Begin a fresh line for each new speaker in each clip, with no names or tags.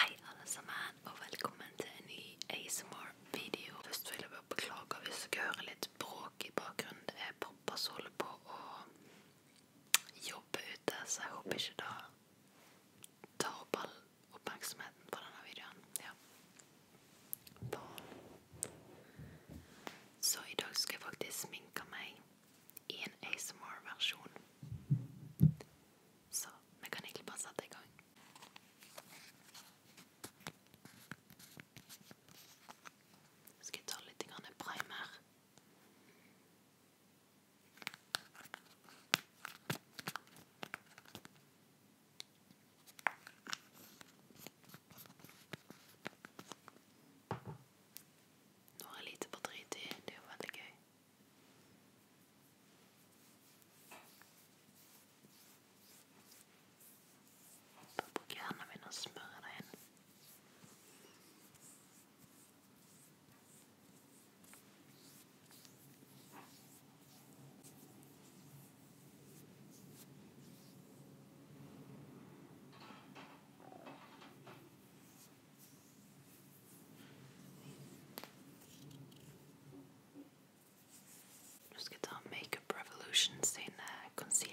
Hei alle sammen, og velkommen til en ny ASMR-video. Først vil jeg bare beklage hvis dere hører litt bråk i bakgrunnen. Det er pappa som holder på å jobbe ute, så jeg håper ikke det tar opp all oppmerksomheten på denne videoen. Ja. Barn. Så i dag skal jeg faktisk sminke meg i en ASMR-versjon. Så vi kan egentlig bare sette i gang. Skal jeg ta litt primer? Nå er jeg lite på dritid. Det er jo veldig gøy. Bare bruk hendene mine og smøre deg inn. Nå Just get our Makeup Revolution in concealer.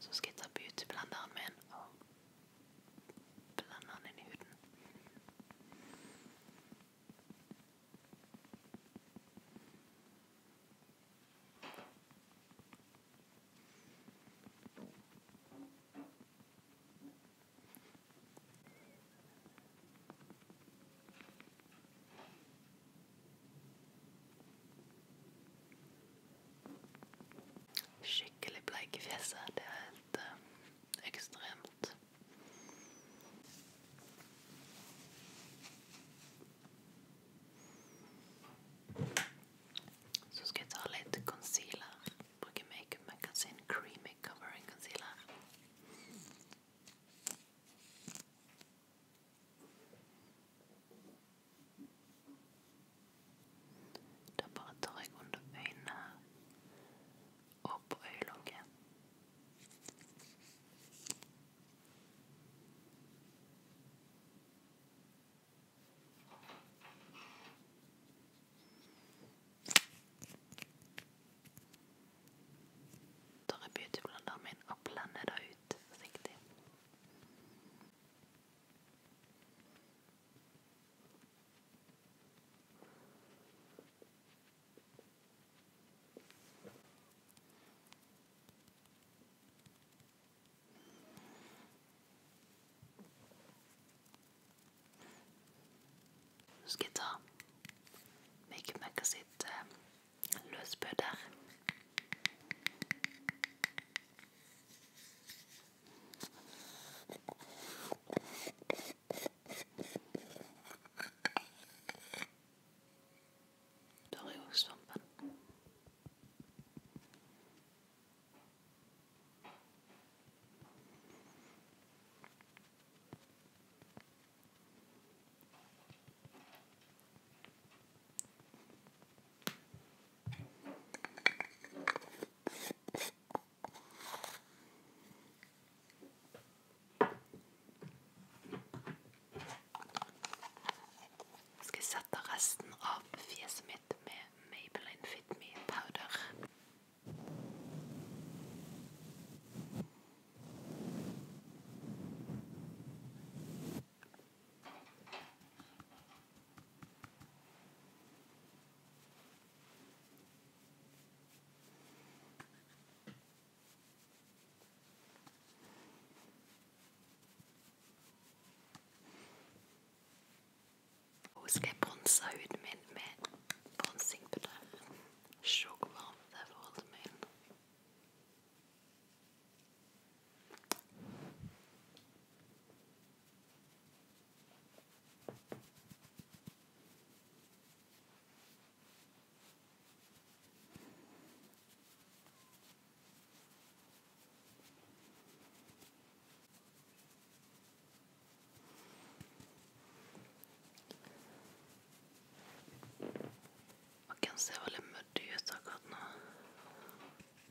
Så skal jeg ta beautyblenderen min og blende den inn i huden. Skikkelig bleik i fjeset. Det er helt uh, ekstremt. Så skal jeg ta litt concealer. Bruke Makeup Magazine Creamy Covering Concealer. Da bare tar jeg under øynene her og på øyelokket. Tar jeg beautyblanderen min og blender det ut forsiktig. Så skal jeg ta Makeup sitt eh, løsbø der. Der er jo svampen. Jeg skal sette resten av fjeset mitt med Maybelline Fit Me Powder. Nå skal jeg bronse huden min med bronsingpudder. Se hvor varmt det er for huden min. Og kan se veldig mørkt ut akkurat nå.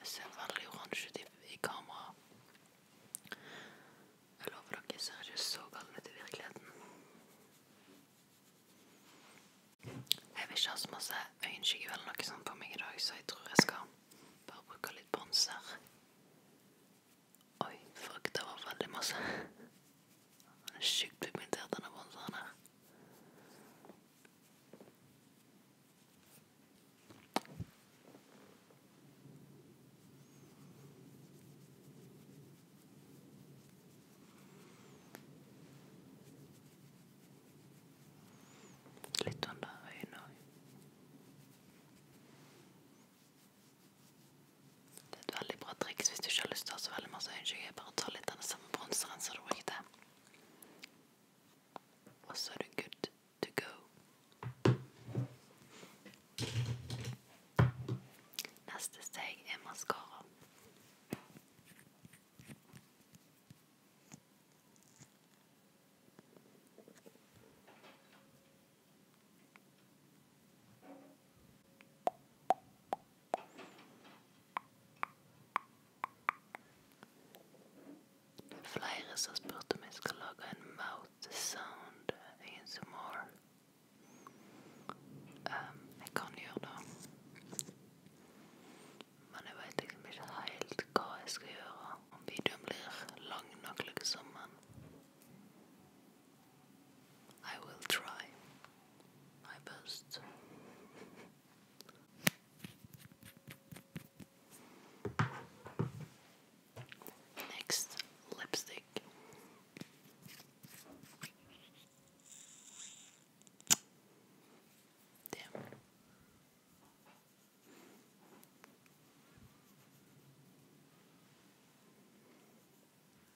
Jeg ser veldig oransje ut i, i kameraet. Jeg lover dere, jeg ser ikke så gal ut i virkeligheten. Jeg vil ikke ha så masse øyenskygge eller noe sånt på meg i dag, så jeg tror jeg skal bare bruke litt bronser. Oi, fuck, det var veldig masse. Han er sjukt pigmentert, denne bronseren her. Litt under sånn øynene òg. Det er et veldig bra triks hvis du ikke har lyst til å ha så veldig masse øyenskygge. Bare ta litt av den samme bronseren som du brukte. Og så er du good to go. Neste steg er maskara. Flere som spurte om jeg skulle lage en mouth sound i en sumor. Um, jeg kan gjøre det. Men jeg veit liksom ikke helt hva jeg skal gjøre. Om videoen blir lang I will try my best. Next lipstick. Damn.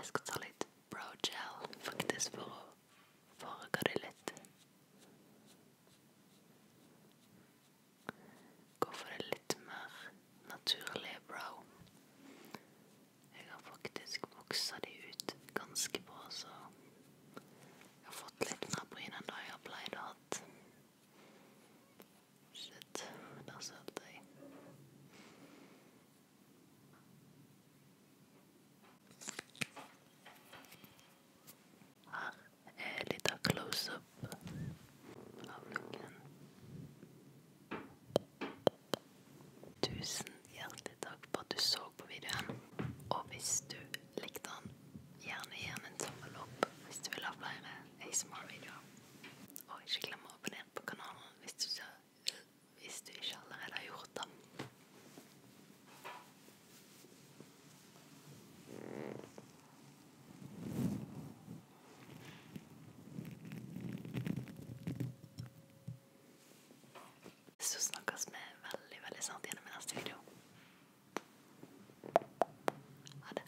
Jeg skal ta litt brogel, faktisk, for å farge det litt. Gå for det litt mer naturlige brow. Jeg har faktisk voksa de ut ganske bra, så jeg har fått litt mer bryn enn det jeg har pleid å hatt. Shit, der sølte jeg. Her er litt av close-up av looken. Tusen hjertelig takk for at du så på videoen. Og hvis du likte den, gjerne gi den en tommel opp hvis du vil ha flere ASMR-videoer. Og ikke glem å abonnere på kanalen hvis du ser hvis du ikke allerede har gjort det. Så snakkes vi veldig, veldig snart gjennom i neste video. Ha det.